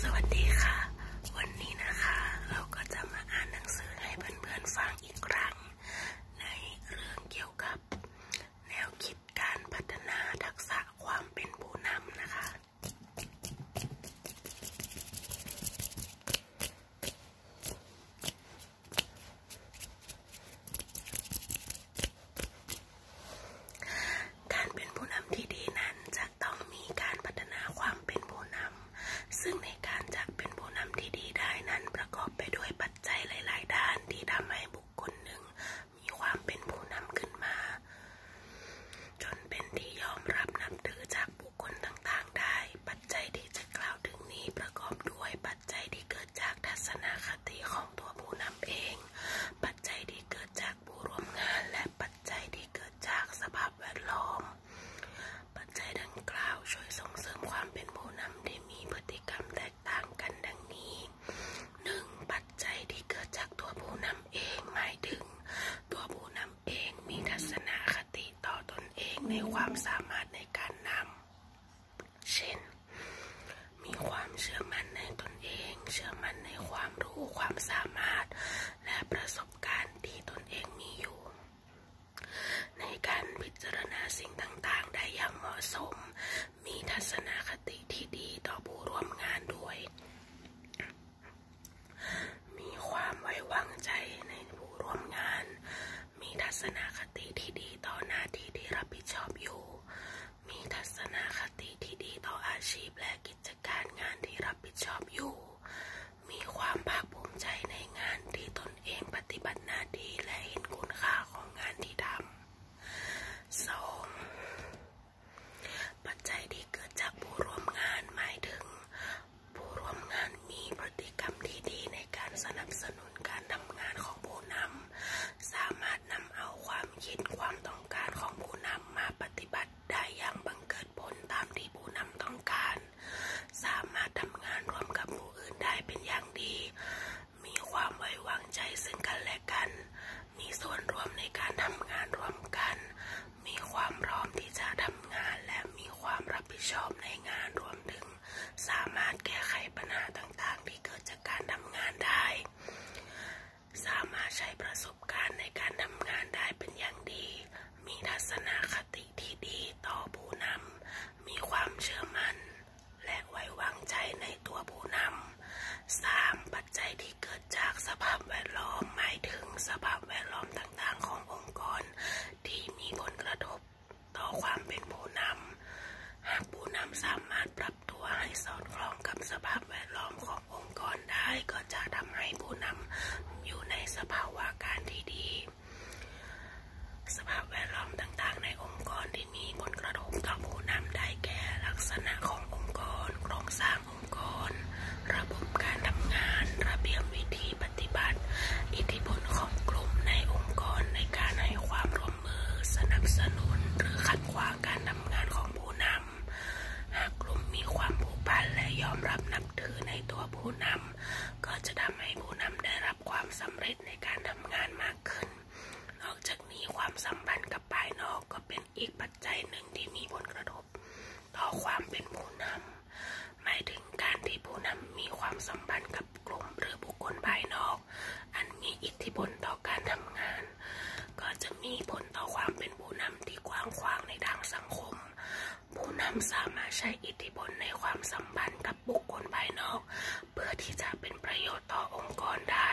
สวัสดีค่ะ วันนี้นะคะ เราก็จะมาอ่านหนังสือให้เพื่อนๆฟังอีกครั้ง ในเรื่องเกี่ยวกับแนวคิดการพัฒนาทักษะความเป็นผู้นำนะคะการเป็นผู้นำที่ดีนั้นจะต้องมีการพัฒนาความเป็นผู้นำซึ่งในการจะเป็นผู้นำที่ดีได้นั้น ประกอบไปด้วยปัจจัยหลาย ๆ ด้านที่ทำให้บุคคลหนึ่ง มีความเป็นผู้นำขึ้นมา จนเป็นที่ยอมรับนับถือจากบุคคลต่างๆากได้ปัจจัยที่จะกล่าวถึงนี้ประกอบด้วย ปัจจัยที่เกิดจากทัศนคติของตัวผู้นำเอง ปัจจัยที่เกิดจากผู้ร่วมงาน และปัจจัยที่เกิดจากสภาพแวดล้อม ปัจจัยดังกล่าวช่วยส่งเสริมความเป็นผู้นำที่มีพฤติกรรมแตกต่างกันดังนี้ 1. ปัจจัยที่เกิดจากตัวผู้นำเองหมายถึง ตัวผู้นำเองมีทัศนคติต่อตนเองในความสามารถในการนำเช่น มีความเชื่อมั่นในตนเอง เชื่อมั่นในความรู้ ความสามารถ และประสบการณ์ที่ตนเองมีอยู่ ในการพิจารณาสิ่งต่าง ๆ ได้อย่างเหมาะสม มีทัศนคติที่ดีต่อผู้ร่วมงานด้วยมีความไว้วางใจในผู้ร่วมงาน มีทัศนคติที่ดีต่อหน้าที่ที่รับผิดชอบอยู่ มีทัศนคติที่ดีต่ออาชีพและกิจการงานที่รับผิดชอบอยู่ มีความภาคภูมิใจในงานที่ตนเองปฏิบัติหน้าที่และเห็นคุณค่าของงานที่ทำสอง ปัจจัยที่เกิดจากผู้ร่วมงานหมายถึงผู้ร่วมงานมีพฤติกรรมที่ดีในการสนับสนุนการทำงานของผู้นำสามารถนำเอาความคิดความต้องการของผู้นำมาปฏิบัติได้อย่างบังเกิดผลตามที่ผู้นำต้องการ สามารถทำงานร่วมกับผู้อื่นได้เป็นอย่างดี มีความไว้วางใจซึ่งกันและกัน มีส่วนร่วมในการทำงานร่วมกันมีความพร้อมที่จะทำงานและมีความรับผิดชอบในงานรวมถึง สามารถแก้ไขปัญหาต่างๆที่เกิดจากการทำงานได้ สามารถใช้ประสบการณ์ในการทำงานได้เป็นอย่างดี มีทัศนคติที่ดีต่อผู้นำ มีความเชื่อมั่น และไว้วางใจในตัวผู้นำสามปัจจัยที่เกิดจากสภาพแวดล้อมหมายถึงสภาพแวดล้อมต่างๆขององค์กรที่มีผลกระทบต่อความเป็นผู้นำหากผู้นำสามารถปรับตัวให้สอดคล้องกับสภาพแวดล้อมขององค์กรได้ก็จะทำให้ผู้นำอยู่ในสภาวะการที่ดี สภาพแวดล้อมต่างๆในองค์กรที่มีผลกระทบต่อผู้นำได้แก่ลักษณะขององค์กรโครงสร้างองค์กร ระบบการทำงานระเบียบวิธีปฏิบัติ อิทธิพลของกลุ่มในองค์กรในการให้ความร่วมมือสนับสนุนหรือขัดขวางการทำงานของผู้นำ หากกลุ่มมีความผูกพัน และยอมรับนับถือ ในตัวผู้นำก็จะทำให้ผู้นำได้รับความสำเร็จในการทำงานมากขึ้น นอกจากนี้ความสัมพันธ์กับภายนอกก็เป็นอีกปัจจัยหนึ่งที่มีผลกระทบต่อความเป็นผู้นำหมายถึงการที่ผู้นำมีความสัมพันธ์กับกลุ่มหรือบุคคลภายนอก อันมีอิทธิพลต่อการทำงาน ก็จะมีผลต่อความเป็นผู้นำที่กว้างขวางในทางสังคม ผู้นำสามารถใช้อิทธิพลในความสัมพันธ์กับบุคคลภายนอก เพื่อที่จะเป็นประโยชน์ต่อองค์กรได้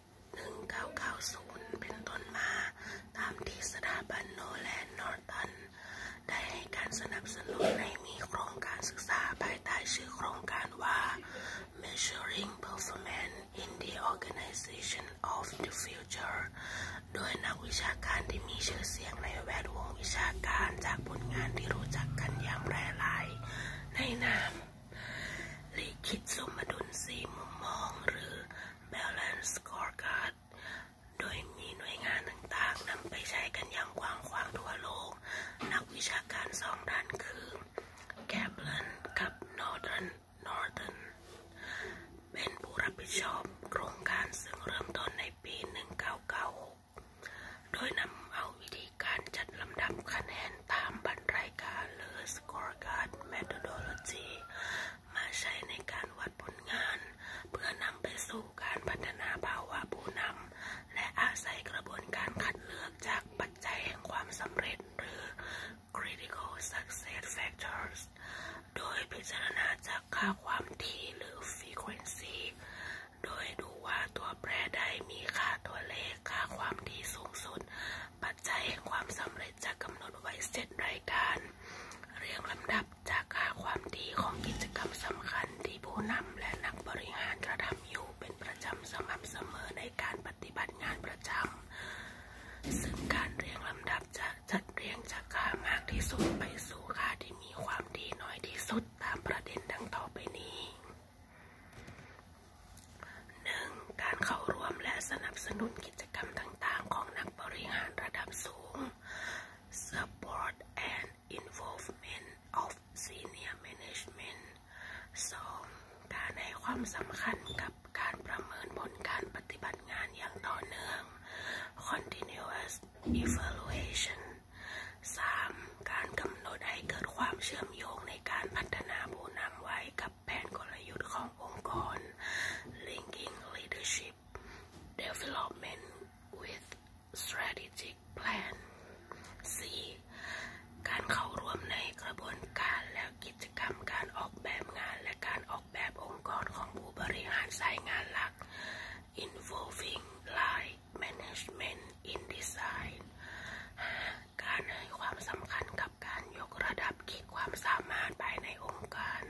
1990 เป็นต้นมา ตามที่สถาบันโนแลนนอร์ตันได้ให้การสนับสนุนใหมีโครงการศึกษาภายใต้ชื่อโครงการว่า Measuring Performance in the Organization of the Future โดยนักวิชาการที่มีชื่อเสียงในแวดวงวิชาการจากผลงานที่รู้จักกันอย่างแพร่หลายในนามลีคิดสมดุลสี่มุมมองหรือ balance scorecard โดยมีหน่วยงานต่างๆนำไปใช้กันอย่างกว้างขวางทั่วโลก นักวิชาการสองด้านคือ Kaplan กับ Northern Northern เป็นผู้รับผิดชอบโครงการซึ่งเริ่มต้นในปี 1996 โดยนำเอาวิธีการจัดลำดับคะแนนตามบรรรายการหรือ scorecard methodology มาใช้ในการวัดผลงาน เพื่อนำไปสู่การพัฒนาภาวะผู้นำและอาศัยกระบวนการคัดเลือกจากปัจจัยแห่งความสำเร็จหรือ critical success factors โดยพิจารณาจากค่าความถี่หรือ frequency โดยดูว่าตัวแปรใดมีค่าตัวเลขค่าความดีสูงสุด ปัจจัยแห่งความสำเร็จจะกำหนดไว้เจ็ดรายการ เรียงลำดับจากค่าความดีของกิจกรรมสำคัญที่ผู้นำและนักบริหารกระทำอยู่เป็นประจำสม่ำเสมอในการปฏิบัติงานประจำซึ่งการเรียงลำดับจะจัดเรียงจากค่ามากที่สุดไปสู่ค่าที่มีความดีน้อยที่สุดตามประเด็นดังต่อไปนี้ 1. การเข้าร่วมและสนับสนุนกิจกรรมต่าง ๆ ของนักบริหารระดับสูง Support and involvement of senior management 2. การให้ความสำคัญกับการประเมินผลการปฏิบัติงานอย่างต่อเนื่อง Continuous evaluation 3. การกำหนดให้เกิดความเชื่อมโยงในการพัฒนาผู้นำไว้กับกับแผนกลยุทธ์ขององค์กร linking leadership development with strategic plan 4. การเข้าร่วมในกระบวนการและกิจกรรมการออกแบบงานและการออกแบบองค์กรของผู้บริหารสายงานหลัก involving line management in design การให้ความสำคัญกับกับการยกระดับขีดความสามารถภายในองค์การ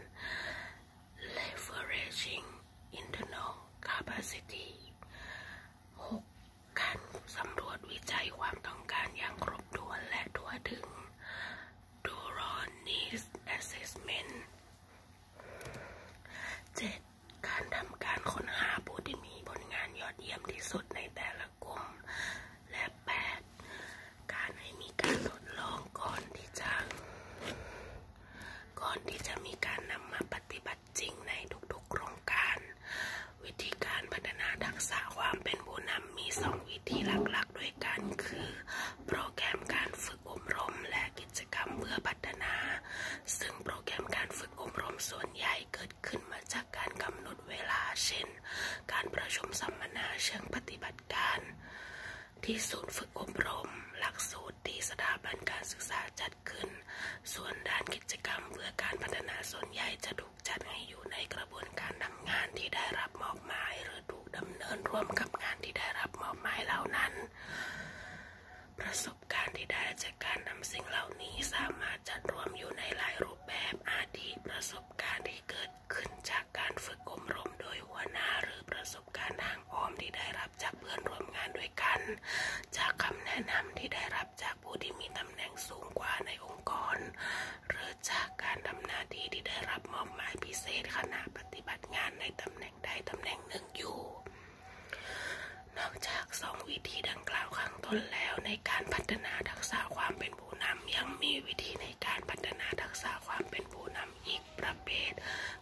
leveraging internal capacity 6การสำรวจวิจัยความต้องการอย่างครบถ้วนและทั่วถึง Dural Needs Assessment 7การทำการค้นหาผู้ที่มีผลงานยอดเยี่ยมที่สุดในแต่ละกลุ่มและแบบแปดการให้มีการทดลองก่อนที่จะ ก่อนที่จะมีการนำมาปฏิบัติจริงในทุกๆโครงการ วิธีการพัฒนาทักษะความเป็นผู้นำมี 2 วิธีหลักๆ ด้วยกันคือ โปรแกรมการฝึกอบรมและกิจกรรมเพื่อพัฒนา ซึ่งโปรแกรมการฝึกอบรมส่วนใหญ่เกิดขึ้นมาจากการกำหนดเวลาเช่นนการประชุมสัมมนาเชิงปฏิบัติการ ที่ศูนย์ฝึกอบรม หลักสูตรที่สถาบันการศึกษาจัดขึ้น ส่วนด้านกิจกรรม เพื่อการพัฒนาส่วนใหญ่จะถูกจัดให้อยู่ในกระบวนการนำงานที่ได้รับมอบหมายหรือถูกดำเนินร่วมกับงานที่ได้รับมอบหมายเหล่านั้น ประสบการณ์ที่ได้จากการนำสิ่งเหล่านี้สามารถจัดรวมอยู่ในหลายรูปปแบบอาทิประสบการณ์ที่เกิดขึ้นจากการฝึกอบรมโดยหัวหน้าหรือประสบการณ์ทางอ้อมที่ได้รับจากเพื่อนร่วมงานด้วยกัน จากคำแนะนำที่ได้รับจากผู้ที่มีตำแหน่งสูงกว่าในองค์กร หรือจากการทำหน้าที่ที่ได้รับมอบหมายพิเศษขณะปฏิบัติงานในตำแหน่งใดตำแหน่งหนึ่งอยู่ นอกจากสองวิธีดังกล่าวข้างต้นแล้วในการพัฒนาทักษะความเป็นผู้นำยังมีวิธีในการพัฒนาทักษะความเป็นผู้นำอีกประเภท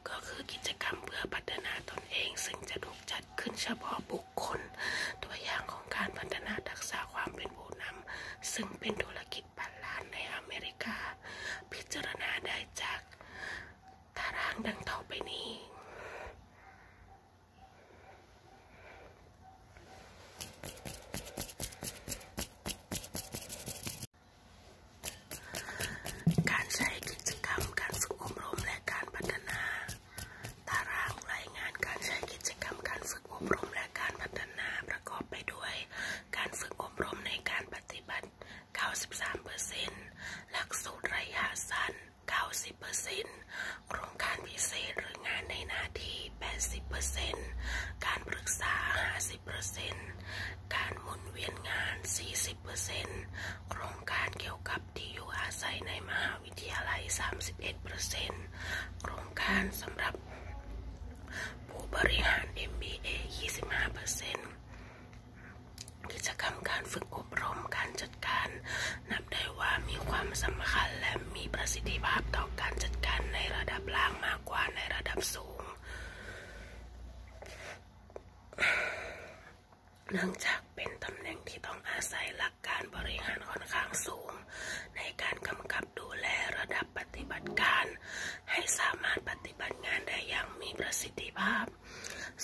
ก็คือกิจกรรมเพื่อพัฒนาตนเอง ซึ่งจะถูกจัดขึ้นเฉพาะบุคคล ตัวอย่างของการพัฒนาทักษะความเป็นผู้นำซึ่งเป็นธุรกิจพันล้านในอเมริกา พิจารณาได้จากตารางดังต่อไปนี้การใช้กิจกรรม การฝึกอบรมและการพัฒนา ตารางรายงานการใช้กิจกรรม การฝึกอบรมและการพัฒนาประกอบไปด้วยการฝึกอบรมในการปฏิบัติ 93%หลักสูตรระยะสั้น 90%โครงการพิเศษหรืองานในหน้าที่80%การปรึกษา 50%การหมุนเวียนงาน 40%โครงการเกี่ยวกับที่อยู่อาศัยในมหาวิทยาลัย 31%โครงการสำหรับ ผู้บริหาร MBA 25%กิจกรรมการฝึกอบรมการจัดการนับได้ว่ามีความสำคัญและมีประสิทธิภาพต่อการจัดการในระดับล่างมากกว่าในระดับสูงเนื่องจากเป็นตำแหน่งที่ต้องอาศัยหลักการบริหารค่อนข้างสูง ในการกำกับดูแลระดับปฏิบัติการ ให้สามารถปฏิบัติงานได้อย่างมีประสิทธิภาพ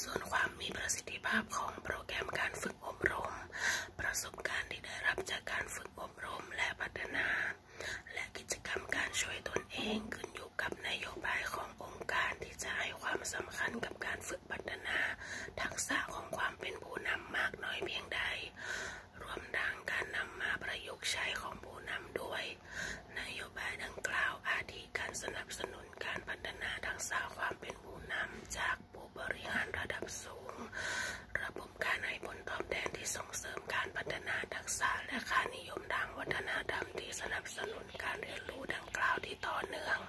ส่วนความมีประสิทธิภาพของโปรแกรมการฝึกกอบรมประสบการณ์ที่ได้รับจากการฝึกอบรมและพัฒนา และกิจกรรมการช่วยตนเองขึ้นอยู่กับนโยบายขององค์การที่จะให้ความสำคัญกับการฝึกพัฒนา ทักษะของความเป็นผู้นำมากน้อยเพียงใด รวมดังการนำมาประยุกต์ใช้ของผู้นำด้วย นโยบายดังกล่าวอาทิการสนับสนุนการพัฒนาทักษะความเป็นผู้นำจากผู้บริหารระดับสูง ระบบการให้ผลตอบแทนที่ส่งเสริมการพัฒนาทักษะและค่านิยมทางวัฒนธรรมที่สนับสนุนการเรียนรู้ดังกล่าวที่ต่อเนื่อง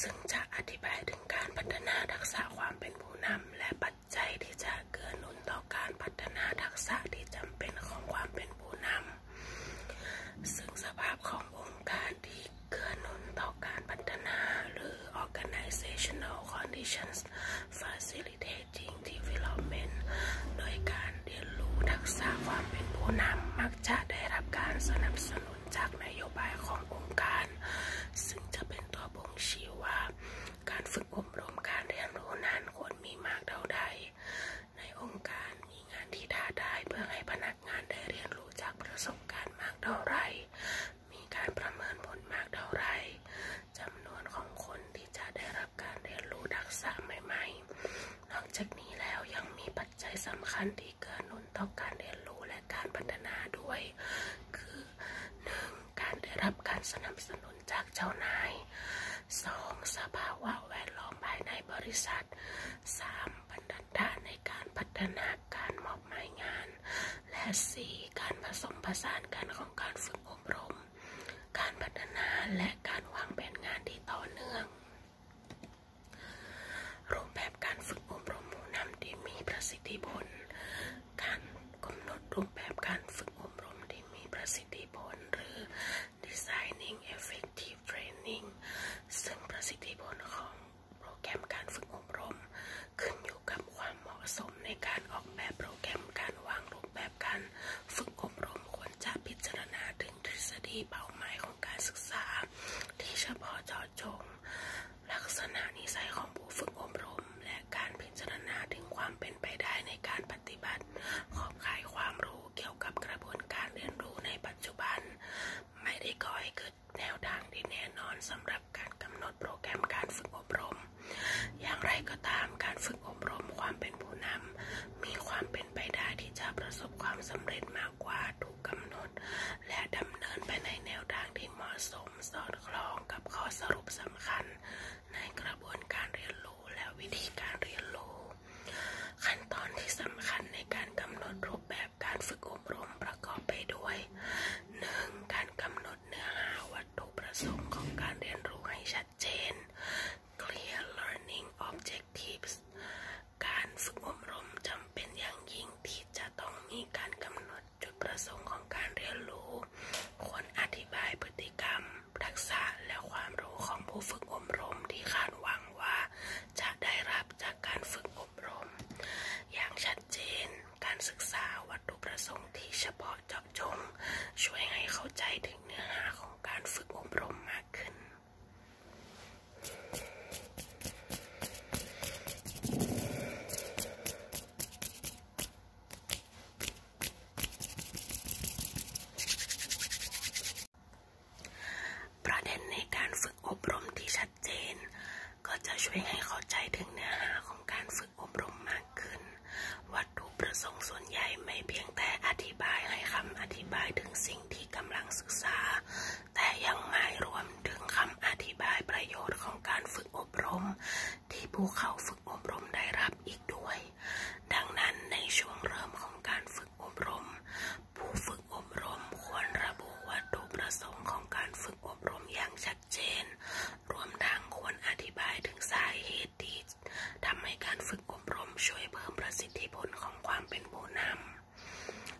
ซึ่งจะอธิบายถึงการพัฒนาทักษะความเป็นผู้นำและปัจจัยที่จะเกื้อหนุนต่อการพัฒนาทักษะที่จำเป็นของความเป็นผู้นำซึ่งสภาพขององค์การที่เกื้อหนุนต่อการพัฒนาหรือ organizational conditions facilitating development โดยการเรียนรู้ทักษะความเป็นผู้นำมักจะได้รับการสนับสนุนจากนโยบายขององค์การ ซึ่งจะเป็นตัวบ่งชี้ว่า การฝึกอบรมการเรียนรู้นั้นควรมีมากเท่าใด ในองค์การมีงานที่ท้าทายเพื่อให้พนักงานได้เรียนรู้จากประสบการณ์มากเท่าไรมีการประเมินผลมากเท่าไรจำนวนของคนที่จะได้รับการเรียนรู้ทักษะใหม่ๆนอกจากนี้แล้วยังมีปัจจัยสำคัญที่เกื้นุนต่อการเรียนรู้และการพัฒนาด้วย คือ 1. การได้รับการสนับสนุนจากเจ้านาย 2. สภาวแวดล้อมภายในบริษัท 3. บรรดาในการพัฒนาการมอบหมายงาน และ 4. การผสมผสานกันของการฝึกอบรม การพัฒนาและการวางแผนงานที่ต่อเนื่องรูปแบบการฝึกอบรมผู้นำที่มีประสิทธิผลการกำหนดรูปแบบการฝึกอบรมที่มีประสิทธิผลหรือ designing effective training ซึ่งประสิทธิผลของโปรแกรมการฝึกอบรมขึ้นอยู่กับความเหมาะสมในการออกแบบโปรแกรมการวางรูปแบบการฝึกอบรมควรจะพิจารณาถึงทฤษฎีเป้าหมายของการศึกษา ที่เฉพาะเจาะจงลักษณะนิสัยของผู้ฝึกอบรมและการพิจารณาถึงความเป็นไปได้ในการปฏิบัติ ขอบข่ายความรู้เกี่ยวกับกระบวนการเรียนรู้ในปัจจุบัน ไม่ได้ก่อให้เกิดแนวทางที่แน่นอนสำหรับการกำหนดโปรแกรมการฝึกอบรม อย่างไรก็ตามการฝึกอบรมความเป็นผู้นำมีความเป็นไปได้ที่จะประสบความสำเร็จมากกว่าถูกกำหนด และดำเนินไปในแนวทางที่เหมาะสม สอดคล้องกับข้อสรุปสำคัญ ในกระบวนการเรียนรู้และวิธีการเรียนรู้ขั้นตอนที่สำคัญในการกำหนดรูปแบบการฝึกอบรมประกอบไปด้วย 1. การกำหนดดเนื้อหาวัตถุประสงค์ของการเรียนรู้ให้ชัดเจน Clear Learning Objectives การฝึกอบรมจำเป็นอย่างยิ่งที่จะต้องมีการกำหนดจุดประสงค์ของการเรียนรู้ควรอธิบายพฤติกรรมทักษะและความรู้ของผู้ฝึกอบรมที่คาดหวังว่า จะได้รับจากการฝึกอบอบรมอย่างชัดเจน การศึกษาวัตถุประสงค์ที่เฉพาะเจาะจงช่วยให้เข้าใจถึงเนื้อหาของการฝึกอบรมมากขึ้น ประเด็นในการฝึกอบรมที่ชัดเจนก็จะช่วยให้เข้าใจถึงเนื้อหาของการฝึกอบรมมากขึ้น วัตถุประสงค์ส่วนใหญ่ไม่เพียงแต่อธิบายให้คำอธิบายถึงสิ่งที่กำลังศึกษา แต่ยังหมายรวมถึงคำอธิบายประโยชน์ของการฝึกอบรม ที่ผู้เข้าฝึกอบรมได้รับอีกด้วย ดังนั้นในช่วงเริ่มของการฝึกอบรม ผู้ฝึกอบรมควรระบุวัตถุประสงค์ของการฝึกอบรมอย่างชัดเจนรวมทั้งควรอธิบายถึงสาเหตุที่ทำให้การฝึกอบรมช่วยเพิ่มประสิทธิผลของความเป็นผู้นำ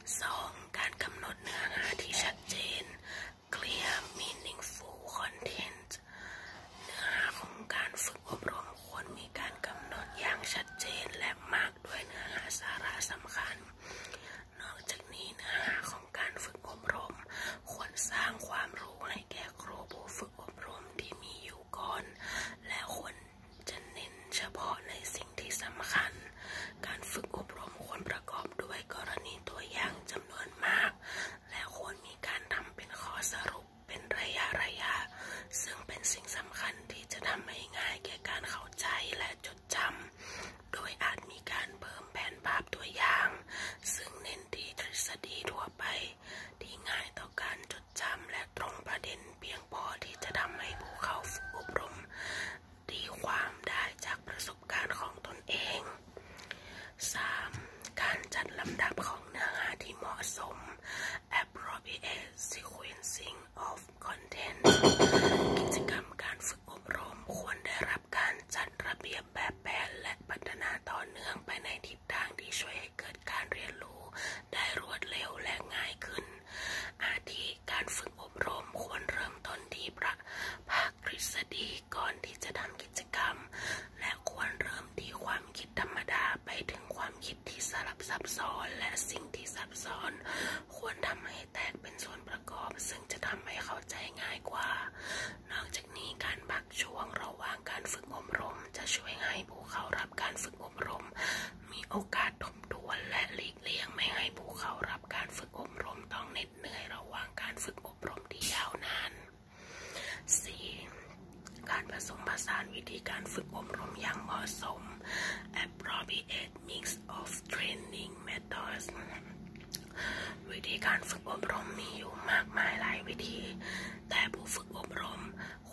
2. การกำหนดเนื้อหาที่ชัดเจน clear meaningful content เนื้อหาของการฝึกอบรมควรมีการกำหนดอย่างชัดเจนและมากด้วยเนื้อหาสาระสำคัญนอกจากนี้เนื้อหาของการฝึกอบรม ควรสร้างความรู้ให้แก่ครูผู้ฝึกอบรมที่มีอยู่ก่อนและควรจะเน้นเฉพาะในสิ่งที่สำคัญ การฝึกอบรมควรประกอบด้วยกรณีตัวอย่างจำนวนมาก และควรมีการทำเป็นข้อสรุปเป็นระยะระยะ ซึ่งเป็นสิ่งสำคัญที่จะทำให้ง่ายแก่การเข้าใจและจดจำโดยอาจมีการเพิ่มแผนภาพตัวอย่าง ซึ่งเน้นที่ทฤษฎีทั่วไป ที่ง่ายต่อการจดจำและตรงประเด็นเพียงพอที่จะทำให้ผู้เข้าฝึกอบรมตีความได้จากประสบการณ์ของตนเอง 3. การจัดลำดับของเนื้อหาที่เหมาะสม appropriate sequencing of content กิจกรรมการฝึกฝึกอบรมควรได้รับการจัดระเบียบแบบแผนและพัฒนาต่อเนื่องไปในทิศทางที่ช่วยให้เกิดการเรียนรู้ ได้รวดเร็วและง่ายขึ้น อาทิการฝึกอบรมควรเริ่มต้นที่ประภาคทฤษฎีก่อนที่จะทำกิจกรรม และควรเริ่มที่ความคิดธรรมดาไปถึงความคิดที่สลับซับซ้อนและสิ่งที่ซับซ้อน ควรทำให้แตกเป็นส่วนประกอบ ซึ่งจะทำให้เข้าใจง่ายกว่านอกจากนี้การพักช่วงระหว่างการฝึกอบรม จะช่วยให้ผู้เข้ารับการฝึกอบรม มีโอกาสทบทวนและหลีกเลี่ยงไม่ให้ผู้เข้ารับการฝึกอบรมต้องเหน็ดเหนื่อยระหว่างการฝึกอบรมที่ยาวนาน 4. การผสมผสานวิธีการฝึกอบรมอย่างเหมาะสม appropriate mix of training method f a c t o วิธีการฝึกอบรมมีอยู่มากมายหลายวิธี แต่ผู้ฝึกอบรม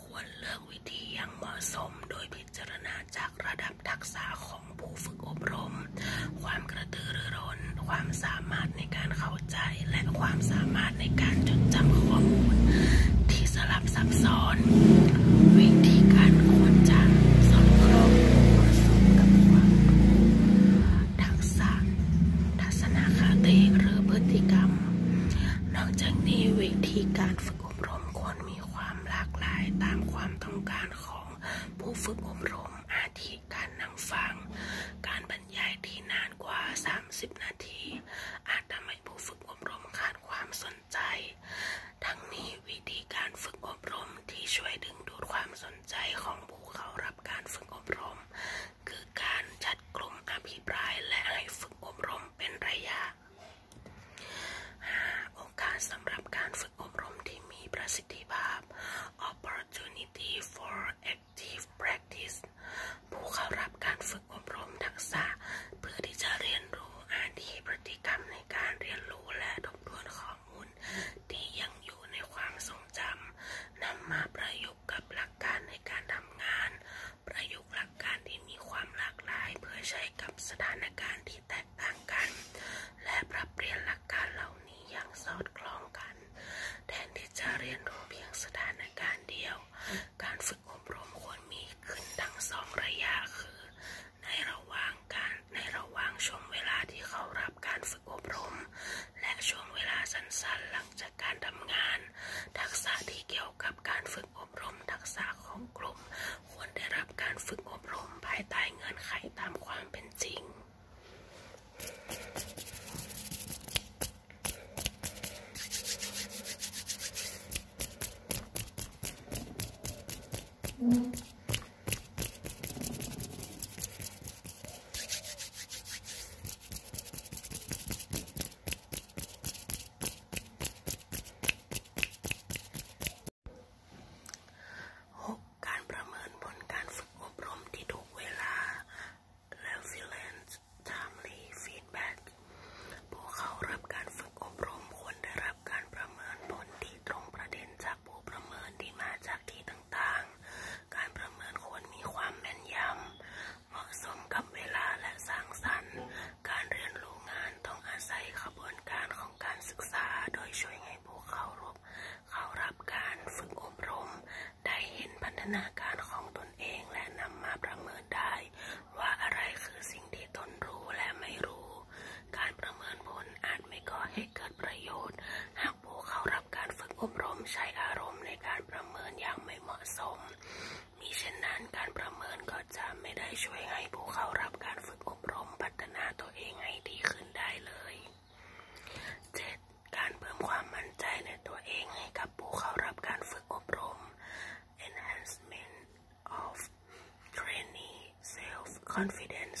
ควรเลือกวิธีอย่างเหมาะสมโดยพิจารณาจากระดับทักษะของผู้ฝึกอบรม ความกระตือรือร้น ความสามารถในการเข้าใจและความสามารถในการจดจำข้อมูล ที่สลับซับซ้อน วิธีการควรจะสอดคล้อเหมาะสมกับคู้ทักษะ ทัศนคติหรือพฤติกรรม นอกจากนี้วิธีการฝึกอบรมควรมีความหลากหลายตามความต้องการของผู้ฝึกอบรม อาทิ การนั่งฟัง การบรรยายที่นานกว่า 30 นาที อาจทำให้ผู้ฝึกอบรมขาดความสนใจ ทั้งนี้วิธีการฝึกอบรมที่ช่วยดึงดูดความสนใจของผู้เข้ารับรับการฝึกอบรม คือการจัดกลุ่มอภิปรายและให้ฝึกอบรมเป็นระยะ 5. โอกาสสำหรับการฝึกอบรมที่มีประสิทธิภาพ opportunity for active practice ผู้เข้ารับการฝึกอบรมทักษะ เพื่อที่จะเรียนรู้อาชีพพฤติกรรมในการเรียนรู้และทบทวนข้ออมูลที่ยังอยู่ในความทรงจำนำมาประยุกต์กับหลักการในการทำงาน ประยุกต์หลักการที่มีความหลากหลายเพื่อใช้กับสถานการณ์ที่แตกต่างกัน และปรับเปลี่ยนหลักการเหล่านี้อย่างสอดคล้องกัน แทนที่จะเรียนรู้เพียงสถานการณ์เดียว การฝึกอบรมควรมีขึ้นทั้งสองระยะคือ ในระหว่างการในระหว่างช่วงเวลาที่เขารับการฝึกอบรมและช่วงเวลาสั้นๆหลังจากการทำงาน ทักษะที่เกี่ยวกับการฝึกอบรมทักษะของกลุ่มควรได้รับการฝึกอบรมภายใต้เงื่อนไขตามความเป็นจริงการประเมินผลการฝึกอบรมที่ถูกเวลา Resilience Timely Feedback ผู้เข้ารับการฝึกอบรมควรได้รับการประเมินผลที่ตรงประเด็นจากผู้ประเมินที่มาจากที่ต่างการประเมินควรมีความแม่นยำเหมาะสมกับเวลาและสร้างสรรค์ การเรียนรู้งานต้องอาศัยขบวนการของการศึกษาโดยช่วยให้ผู้เข้ารับเข้ารับการฝึกอบรม ได้เห็นพัฒนาการของตนเองและนำมาประเมินได้ ว่าอะไรคือสิ่งที่ตนรู้และไม่รู้ การประเมินผลอาจไม่ก่อให้เกิดประโยชน์หากผู้เข้ารับการฝึกอบรมใช้อารมณ์ในการประเมินอย่างไม่เหมาะสมมิเช่นนั้นการประเมินก็จะไม่ได้ช่วยให้ผู้เข้ารับการฝึกอบรมพัฒนาตัวเองให้ดีขึ้นได้เลย 7. การเพิ่มความมั่นใจในตัวเองให้กับผู้เข้ารับการฝึกอบรม enhancement of t r a i n i n g self confidence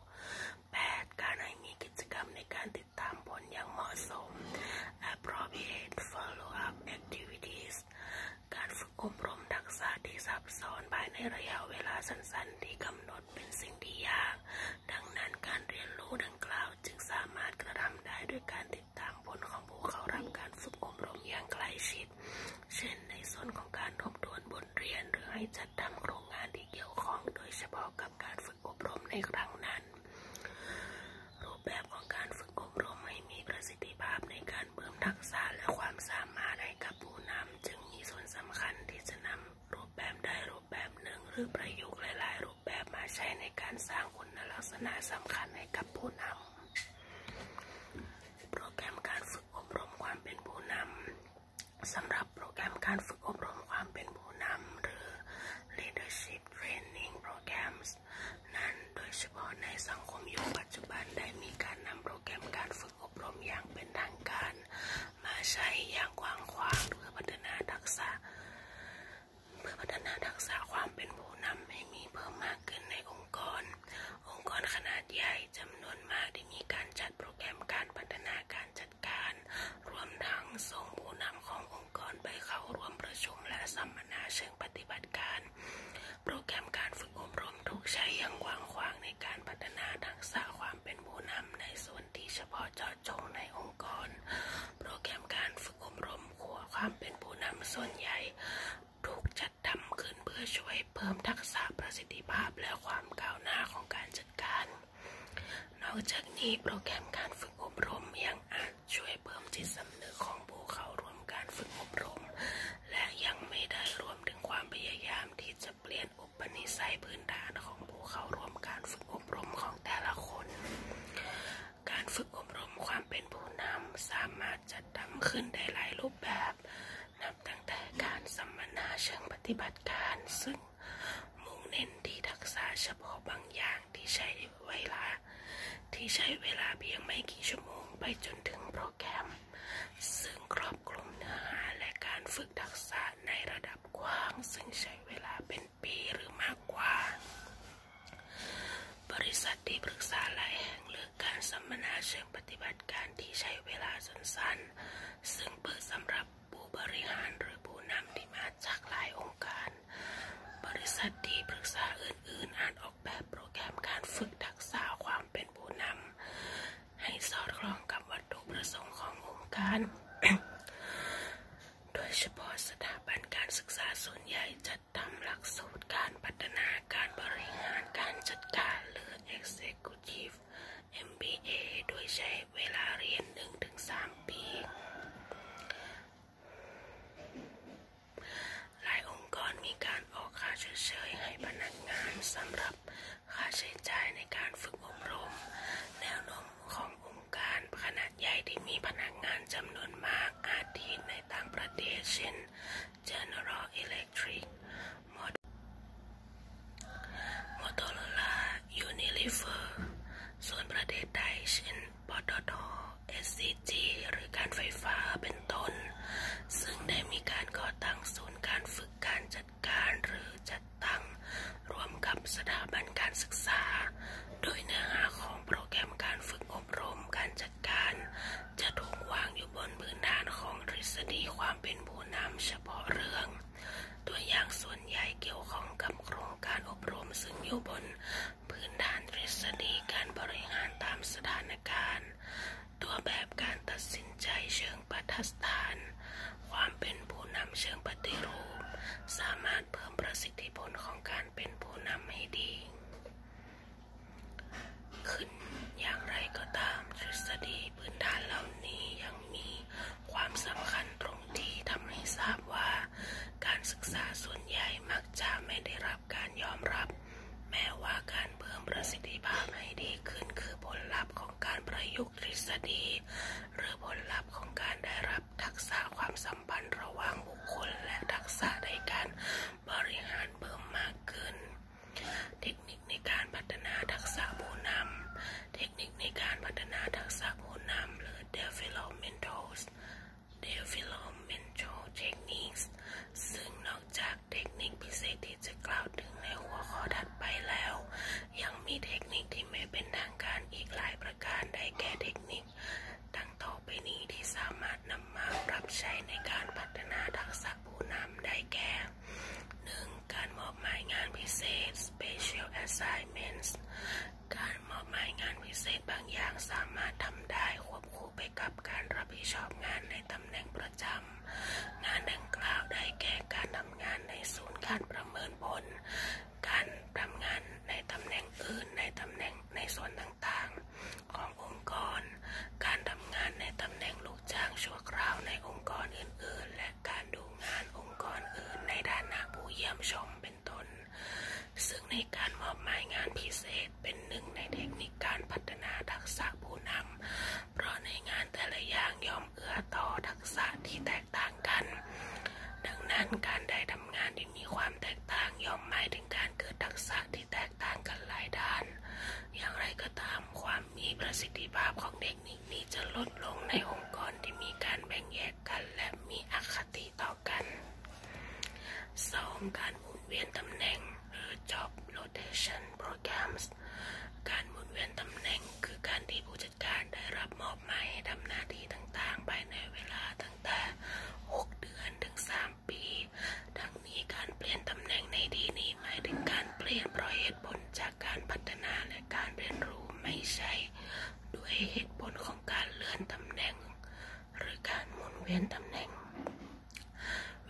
8. การให้มีกิจกรรมในการติดตามผลอย่างเหมาะสม appropriate follow-up activities การฝึกอบรมทักษะที่ซับซ้อนภายในระยะเวลาสั้นๆ ที่กำหนดเป็นสิ่งที่ยาก ดังนั้นการเรียนรู้ดังกล่าวจึงสามารถกระทำได้ด้วยการติดตามผลของผู้เข้ารับการฝึกอบรมอย่างใกล้ชิดเช่นในส่วนของการทบทวนบทเรียนหรือให้จัดทำโครงงานที่เกี่ยวข้อง โดยเฉพาะกับการฝึกอบรมในครั้งนั้น รูปแบบของการฝึกอบรมให้มีประสิทธิภาพในการเพิ่มทักษะและความสามารถให้กับผู้นำจึงมีส่วนสำคัญที่จะนำรูปแบบได้รูปแบบหนึ่ง หรือประยุกต์หลาย ๆ รูปแบบมาใช้ในการสร้างคุณลักษณะสำคัญให้กับผู้นำโปรแกรมการฝึกอบรมความเป็นผู้นำสำหรับโปรแกรมการฝึกอบรมความเป็นผู้นำหรือ leadership training programs นั้นโดยเฉพาะในสังคมยุคปัจจุบัน ได้มีการนำโปรแกรมการฝึกอบรมอย่างเป็นทางการ มาใช้อย่างกว้างขวางเพื่อพัฒนาทักษะ เพื่อพัฒนาทักษะความเป็นผู้นำให้มีเพิ่มมากขึ้นในองค์กร องค์กรขนาดใหญ่จำนวนมากที่มีการจัดโปรแกรมการพัฒนาการจัดการ รวมทั้งส่งผู้นำขององค์กรไปเข้าร่วมประชุม และสัมมนาเชิงปฏิบัติการ โปรแกรมการฝึกอบรมถูกใช้อย่างกว้างขวางในการพัฒนาทักษะความเป็นผู้นำในส่วนที่เฉพาะเจาะจงในองค์กร โปรแกรมการฝึกอบรมขัวความเป็นผู้นำส่วนใหญ่ ถูกจัดทำขึ้นเพื่อช่วยเพิ่มทักษะประสิทธิภาพและความก้าวหน้าของการจัดการนอกจากนี้โปรแกรมการฝึกอบรมยังอาจช่วยเพิ่มจิตสำนึกของผู้เข้าร่วมการฝึกอบรม และยังไม่ได้รวมถึงความพยายามที่จะเปลี่ยนอุปนิสัยพื้นฐานของผู้เข้าร่วมการฝึกอบรมของแต่ละคน การฝึกอบรมความเป็นผู้นำสามารถจัดทำขึ้นได้หลายรูปแบบนับตั้งแต่การสัมมนาเชิงปฏิบัติการ ซึ่งมุ่งเน้นที่ทักษะเฉพาะบางอย่างที่ใช้เวลา ที่ใช้เวลาเพียงไม่กี่ชั่วโมงไปจนถึงโปรแกรม ซึ่งครอบคลุมเนื้อหาและการฝึกทักษะในระดับกว้างซึ่งใช้เวลาเป็นปีหรือมากกว่า บริษัทที่ปรึกษาหลายแห่งเลือกการสัมมนาเชิงปฏิบัติการที่ใช้เวลาสั้นๆซึ่งเปิดสำหรับผู้บริหารหรือผู้นำที่มาจากหลายองค์การ บริษัทที่ปรึกษาอื่นๆอาจออกแบบโปรแกรมการฝึกทักษะความเป็นผู้นำให้สอดคล้องกับวัตถุประสงค์ขององค์การ โดยเฉพาะสถาบันการศึกษาส่วนใหญ่จัดทำหลักสูตรการพัฒนาการบริหารการจัดการหรือ Executive MBA โดยใช้เวลาเรียน 1-3 ปี หลายองค์กรมีการออกค่าชดเชยให้พนักงานสำหรับค่าใช้จ่ายในการฝึกอบรม แนวโน้มขององค์การขนาดใหญ่ที่มีพนักงานจำนวนมากอาทิในต่างประเทศเช่น General Electric โมโตล่ายูนิลิเอร์สวนประเทศใดเช่นปตท SCG หรือการไฟฟ้า เป็นต้น ซึ่งได้มีการก่อตั้งศูนย์การฝึกการจัดการหรือจัดตั้งรวมกับสถาบันการศึกษา โดยเนื้อหาของโปรแกรมการฝึกอบรมการจัดการ จะถูกวางอยู่บนพื้นฐานของฤษีความเป็นผู้นำเฉพาะเรื่องตัวอย่างส่วนใหญ่เกี่ยวข้องกับโครงการอบรมซึ่งอยู่บนพื้นฐานทฤษฎีการบริหารตามสถานการณ์ ตัวแบบการตัดสินใจเชิงปฏิสถาน ความเป็นผู้นำเชิงปฏิรูป สามารถเพิ่มประสิทธิผลของการเป็นผู้นำให้ดี ขึ้นอย่างไรก็ตามทฤษฎีพื้นฐานเหล่านี้ยังมีความสำคัญตรงที่ทำให้ทราบว่า การศึกษาส่วนใหญ่มักจะไม่ได้รับการยอมรับ แม้ว่าการเพิ่มประสิทธิภาพให้ดีขึ้นคือผลลัพธ์ของการประยุกต์ทฤษฎี หรือผลลัพธ์ของการได้รับทักษะความสัมพันธ์ระหว่างบุคคลและทักษะในการบริหารเพิ่มมากขึ้นเทคนิคในการพัฒนาทักษะผู้ำเทคนิคในการพัฒนาทักษะผู้ำหรือ d e v o p m e n t a l d e v o p m e n t a l techniques ซึ่งนอกจากเทคนิคพิเศษที่จะกล่าวถึงในหัวข้อถัดไปแล้ว ยังมีเทคนิคที่ไม่เป็นทางการอีกหลายประการได้แก่เทคนิคดังตไปนี้ที่สามารถนำมาปรับใช้ในการพัฒนาทักษะผู้นำได้แก่ 1. การมอบหมายงานพิเศษ special assignments การมอบหมายงานพิเศษบางอย่างสามารถทำได้ควบคู่ไปกับการรับผิดชอบงานในตำแหน่งประจำงานดังกล่าวได้แก่การทำงานในศูนย์การประเมินผลการทำงานในตำแหน่งอื่นในตำแหน่งในส่วนต่างๆ ขององค์กร การทำงานในตำแหน่งลูกกจ้างชั่วคราวในองค์กรอื่นๆ และการดูงานองค์กรอื่นในด้านนะผู้เยี่ยมชมเป็นต้น ซึ่งในการมอบหมายงานพิเศษเป็นหนึ่งในเทคนิคการพัฒนาทักษะผู้นำ เพราะในงานแต่ละอย่างยอมเอื้อต่อทักษะที่แตกต่างกัน ดังนั้นการได้ทำงานที่มีความแตกต่างยอมหมายถึงการเกิดทักษะที่แตกต่างกันหลายด้าน อย่างไรก็ตามความมีประสิทธิภาพของเด็กนี้กนี้จะลดลงในองค์กรที่มีการแบ่งแยกกันและมีอคติต่อกัน 2. การหมุนเวียนตำแหน่งหรือ job rotation programs การหมุนเวียนตำแหน่ง คือการที่ผู้จัดการได้รับมอบหมายให้ทำหน้าที่ต่างๆภายในเวลาตั้งแต่6เดือนถึง3 ปีทั้งนี้การเปลี่ยนตำแหน่งในที่นี้หมายถึงการเปลี่ยนเพราะเหตุผลจากการพัฒนาและการเรียนรู้ไม่ใช่ ด้วยเหตุผลของการเลื่อนตำแหน่ง หรือการหมุนเวียนตำแหน่ง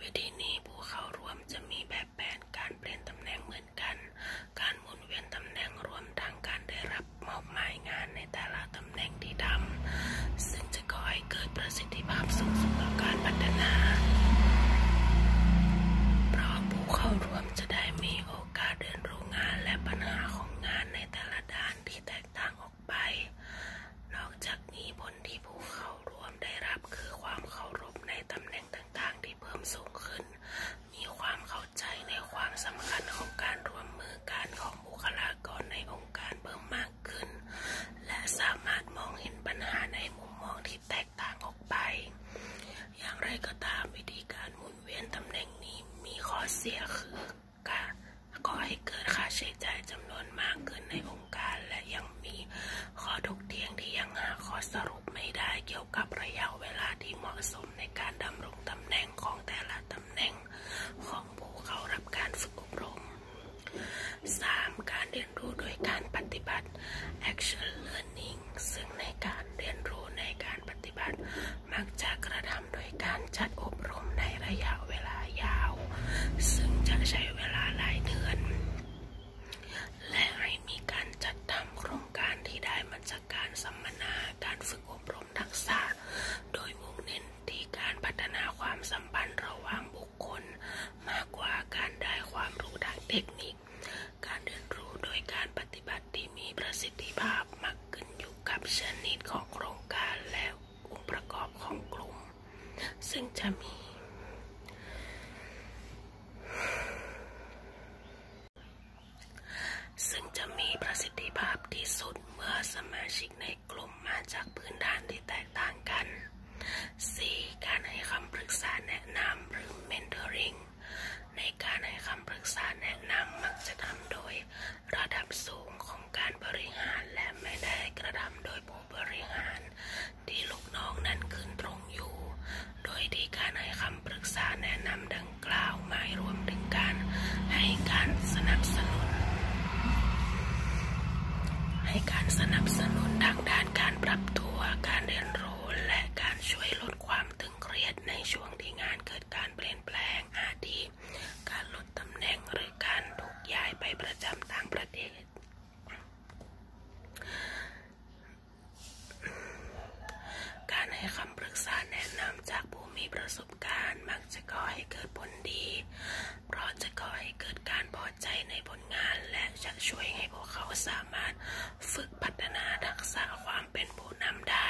วิธีนี้ผู้เข้าร่วมจะมีแบบแผนการเปลี่ยนตำแหน่งเหมือนกัน การหมุนเวียนตำแหน่งรวมทังการได้รับมอบหมายงานในแต่ละตำแหน่งที่ทำซึ่งจะคอยเกิดประสิทธิภาพสูงสุดต่อการพัฒนา เพราะผู้เข้าร่วมวังจะได้มีโอกาสเรียนรู้งานและปัญหาของงานในแต่ละด้านที่แตกต่างออกไป นอกจากนี้ผลที่ผู้เข้าร่วมได้รับคือความเคารพในตำแหน่งต่างๆที่เพิ่มสูงขึ้น มีความเข้าใจในความสำคัญของการร่วมมือการของบุคลากรในองค์การเพิ่มมากขึ้น และสามารถมองเห็นปัญหาในมุมมองที่แตกอย่างไรก็ตามวิธีการหมุนเวียนตำแหน่งนี้มีข้อเสียคือการก่อให้เกิดค่าใช้จ่ายจำนวนมากเกินในองค์การ และยังมีข้อถกเถียงที่ยังหาข้อสรุปไม่ได้เกี่ยวกับระยะเวลาที่เหมาะสมในการดำรงตำแหน่งของแต่ละตำแหน่ง ของผู้เข้ารับการฝึกอบรม 3. การเรียนรู้โดยการปฏิบัติ action learning งซึ่งในการเรียนรู้ในการปฏิบัติมักจะกระทำโดยการจัดอบรมในระยะเวลายาว ซึ่งจะใช้เวลาหลายเดือน และให้มีการจัดทำโครงการที่ได้มาจากการสัมมนาการฝึกอบรมทักษะ โดยมุ่งเน้นที่การพัฒนาความสัมพันธ์ระหว่างบุคคล มากกว่าการได้ความรู้ด้านเทคนิคการเรียนรู้โดยการปฏิบัติที่มีประสิทธิภาพมากขึ้นอยู่กับชนิดของโครงการและองค์ประกอบของกลุ่ม ซึ่งจะมี ซึ่งจะมีประสิทธิภาพที่สุดเมื่อสมาชิกในกลุ่มมาจากพื้นฐานที่แตกต่างกัน 4. การให้คำปรึกษาแนะนำหรือ mentoring ในการให้คำปรึกษาแนะนำมักจะทำโดย ระดับสูงของการบริหารและไม่ได้กระทำโดยผู้บริหารที่ลูกน้องนั้นขึ้นตรงอยู่ โดยทีการให้คำปรึกษาแนะนำดังกล่าวหมารวมถึงการให้การสนับสนุน ให้การสนับสนุนทางด้านการปรับตัวการเรียนรู้และการช่วยลลดความตึงเครียดในช่วงที่งานเกิดการเปลี่ยนแปลงอาทิการลดตำแหน่งหรือการถูกย้ายไปประจำต่างประเทศ การให้คำปรึกษาแนะนำจากผู้มีประสบการณ์ มักจะก่อให้เกิดผลดี เพราะจะก่อให้เกิดการพอใจในผลงานและจะช่วยให้พวกเขาสามารถฝึกพัฒนาทักษะความเป็นผู้นำได้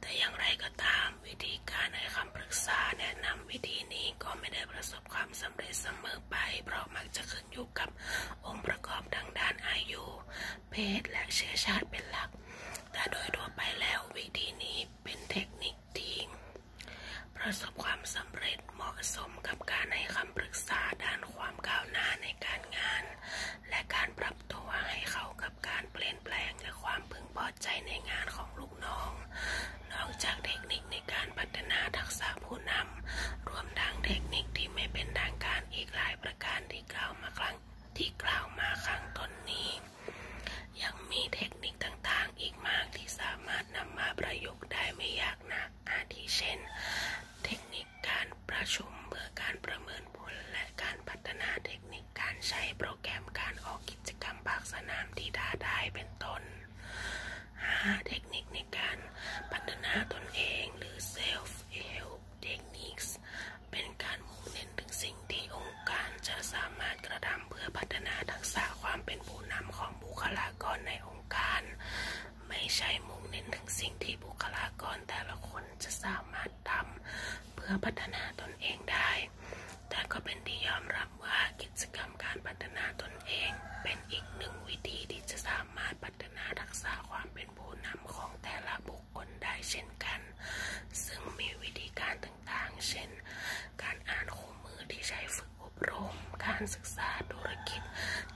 แต่อย่างไรก็ตามวิธีการให้คำปรึกษาแนะนำวิธีนี้ก็ไม่ได้ประสบความสำเร็จเสมอไป เพราะมักจะขึ้นอยู่กับองค์ประกอบดังด้านอายุ เพศและเชื้อชาติเป็นหลัก แต่โดยทั่วไปแล้ววิธีนี้เป็นเทคนิคที่ประสบความสำเร็จเหมาะสมกับการให้คำปรึกษาด้านความก้าวหน้าในการงานและการปรับตัวให้เข้ากับการเปลี่ยนแปลงและความพึงพอใจในงานของลูกน้อง นอกจากเทคนิคในการพัฒนาทักษะผู้นำรวมทั้งเทคนิคที่ไม่เป็นทางการอีกหลายประการที่กล่าวมาครั้งที่กล่าวมาครั้งต้นนี้ยังมีเทคนิคต่างๆอีกมากที่สามารถนำมาประยุกต์ได้ไม่ยากนักอาทิเช่นเทคนิคการประชุมเพื่อการประเมินผลและการพัฒนาเทคนิคการใช้โปรแกรมการออกกิจกรรมภาคสนามที่ท้าทายเป็นต้น 5. เทคนิคในการพัฒนาตนเองหรือ self help techniques เป็นการมุ่งเน้นถึงสิ่งที่องค์การจะสามารถกระทำเพื่อพัฒนาทักษะความเป็นผู้นำของบุคลากรในองค์การไม่ใช่มุ่งเน้นถึงสิ่งที่บุคลากรแต่ละคนจะสามารถทำเพื่อพัฒนาตนเองได้ แต่ก็เป็นที่ยอมรับว่ากิจกรรมการพัฒนาตนเอง เป็นอีกหนึ่งวิธีที่จะสามารถพัฒนาทักษะความเป็นผู้นำของแต่ละบุคคลได้เช่นกัน ซึ่งมีวิธีการต่างๆ เช่น การอ่านคู่มือที่ใช้ฝึกอบรม การศึกษาธุรกิจ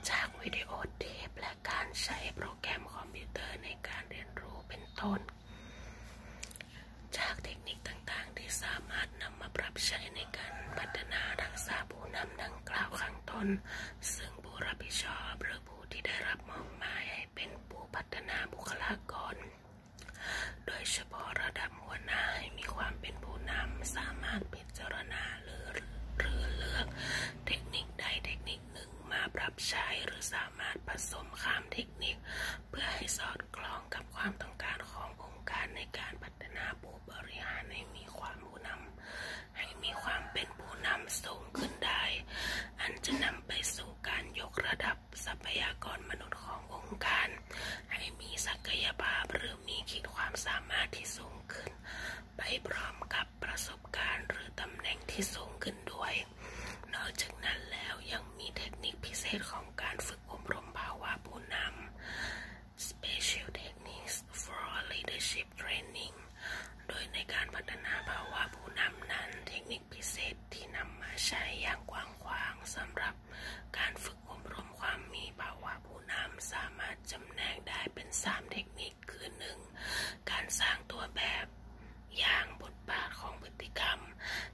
จากวิดีโอเทพและการใช้โปรแกรมคอมพิวเตอร์ในการเรียนรู้เป็นต้น จากเทคนิคต่างๆ ที่สามารถนำมาปรับใช้ในการพัฒนาทักษะผู้นำดังกล่าวข้างต้น ซึ่งผู้รับผิดชอบหรือผู้ที่ได้รับมอบหมายให้เป็นผู้พัฒนาบุคลากร โดยเฉพาะระดับหัวหน้าให้มีความเป็นผู้นำสามารถพิจารณาหรือเลือกเทคนิคใดเทคนิคคหนึ่งมาปรับใช้หรือสามารถผสมข้ามเทคนิค เพื่อให้สอดคล้องกับความต้องการขององค์การในการพัฒนาผู้บริหารให้มีความผู้นำให้มีความเป็นผู้นำสูงขึ้นได้ อันจะนำไปสู่การยกระดับทรัพยากรมนุษย์ขององค์การ ให้มีศักยภาพหรือมีขีดความสามารถที่สูงขึ้น ไปพร้อมกับประสบการณ์หรือตำแหน่งที่สูงขึ้นด้วย นอกจากนั้นแล้วยังมีเทคนิคพิเศษของการฝึกอบรมภาวะผู้นำ Special Techniques for Leadership Training โดยในการพัฒนาภาวะผู้นำนั้น เทคนิคพิเศษที่นำมาใช้อย่างกว้างขวางสำหรับ การฝึกอบรมความมีภาวะผู้นำสามารถจำแนกได้เป็น3เทคนิคอีกคือหนึ่งการสร้างตัวแบบอย่างบทบาทของพฤติกรรม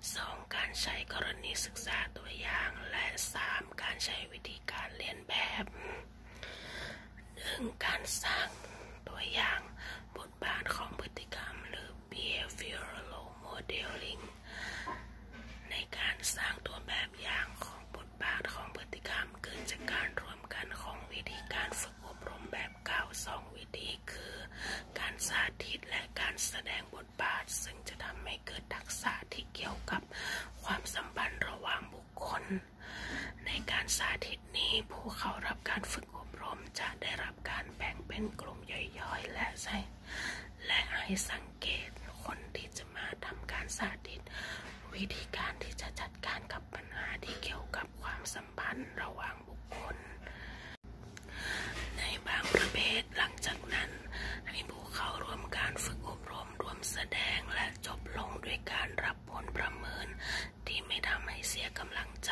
2. การใช้กรณีศึกษาตัวอย่างและ 3. การใช้วิธีการเรียนแบบ 1. การสร้างตัวอย่าง บทบาทของพฤติกรรมหรือ behavioral modeling ในการสร้างตัวแบบอย่างของบทบาทของพฤติกรรมเกิดจากการรวมกันของวิธีการฝึกฝึกอบรมแบบเก่าสองวิธี คือ การสาธิตและการแสดงบทบาท ซึ่งจะทำให้เกิดทักษะที่เกี่ยวกับความสัมพันธ์ระหว่างบุคคล ในการสาธิตนี้ ผู้เข้ารับการฝึกอบรมจะได้รับการแบ่งเป็นกลุ่มย่อยๆ และใช้และให้สังเกตคนที่จะมาทำการสาธิต วิธีการที่จะจัดการกับปัญหาที่เกี่ยวกับความสัมพันธ์ระหว่างบุคคล ในบางประเภทหลังจากนั้นให้ผู้เข้าร่วมการฝึกอบรมรวมแสดงและจบลงด้วยการรับผลประเมินที่ไม่ทำให้เสียกำลังใจ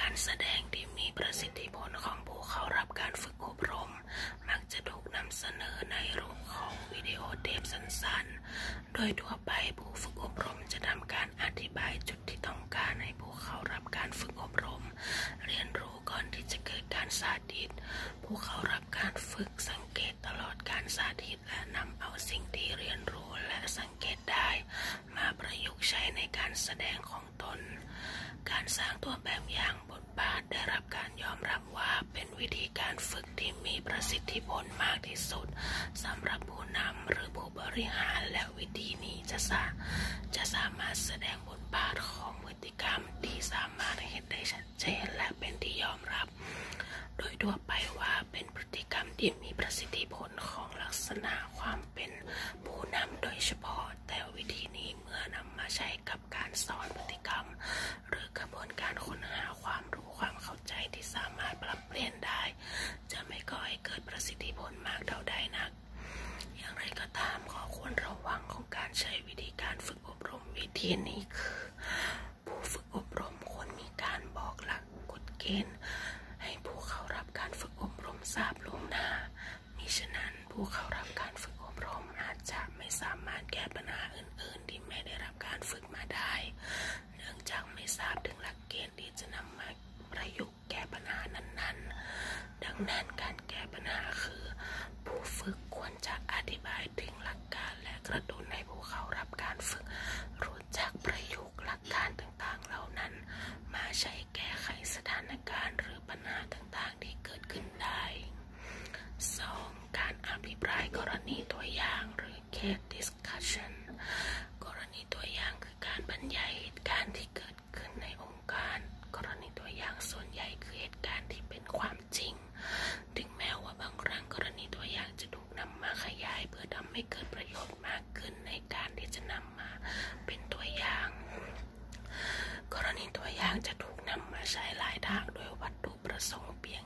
การแสดงที่มีประสิทธิผลของผู้เข้ารับการฝึกอบรม มักจะถูกนำเสนอในรูปของวิดีโอเทปสั้นๆโดยทั่วไปผู้ฝึกอบรมจะทำการอธิบายจุดที่ต้องการให้ผู้เข้ารับการฝึกอบรม เรียนรู้ก่อนที่จะเกิดการสาธิตผู้เข้ารับการฝึกสังเกตตลอดการสาธิตและนำเอาสิ่งที่เรียนรู้และสังเกตได้ มาประยุกต์ใช้ในการแสดงของตน การสร้างตัวแบบอย่างบทบาทได้รับการยอมรับว่าเป็นวิธีการฝึกที่มีประสิทธิผลมากที่สุดสำหรับผู้นำหรือผู้บริหารและวิธีนี้จะสาจะสามารถแสดงบทบาทของพฤติกรรมที่สามารถเห็นได้ชัดเจนและเป็นที่ยอมรับ โดยทั่วไปว่าเป็นพฤติกรรมที่มีประสิทธิผลของลักษณะความเป็น ผู้นำโดยเฉพาะแต่วิธีนี้เมื่อนำมาใช้กับการสอนพฤติกรรม หรือกระบวนการค้นหาความรู้ความเข้าใจที่สามารถปรัับเปลี่ยนได้จะไม่ก่อให้เกิดประสิทธิผลมากเท่าใดนัก อย่างไรก็ตามขอควรระวังของการใช้วิธีการฝึกอบรมวิธีนี้คือ ผู้ฝึกอบรมควรมีการบอกหลักกฎเกณฑ์ให้ผู้เข้ารับการฝึกอบรมทราบล่วงหน้ามิฉะนั้นผู้เข้ารับการฝึกอบรมอาจจะไม่สามารถแก้ปัญหาอื่น ๆ ที่ไม่ได้รับการฝึกมาได้เนื่องจากไม่ทราบถึงหลักเกณฑ์ที่จะนำมาประยุกต์แก้ปัญหานั้นๆ ดังนั้นการแก้ปัญหาคือ ผู้ฝึกควรจะอธิบายถึงหลักการและกระตุ้นให้ผู้เข้ารับการฝึก รู้จักประยุกต์หลักการต่างๆเหล่านั้น มาใช้แก้ไขสถานการณ์หรือปัญหาต่างๆที่เกิดขึ้นได้ 2. การอภิปรายกรณีตัวอย่างหรือเคสที่ discussion กรณีตัวอย่างคือการบรรยายเหตุการณ์ที่เกิดขึ้นในองค์การ กรณีตัวอย่างส่วนใหญ่คือเหตุการณ์ที่เป็นความจริงถึงแม้ว่าบางครั้งกรณีตัวอย่างจะถูกนำมาขยาย เพื่อทำให้เกิดประโยชน์มากขึ้นในการที่จะนำมาเป็นตัวอย่าง กรณีตัวอย่างจะถูกนำมาใช้หลายทางโดยวัตถุประสงค์เพียง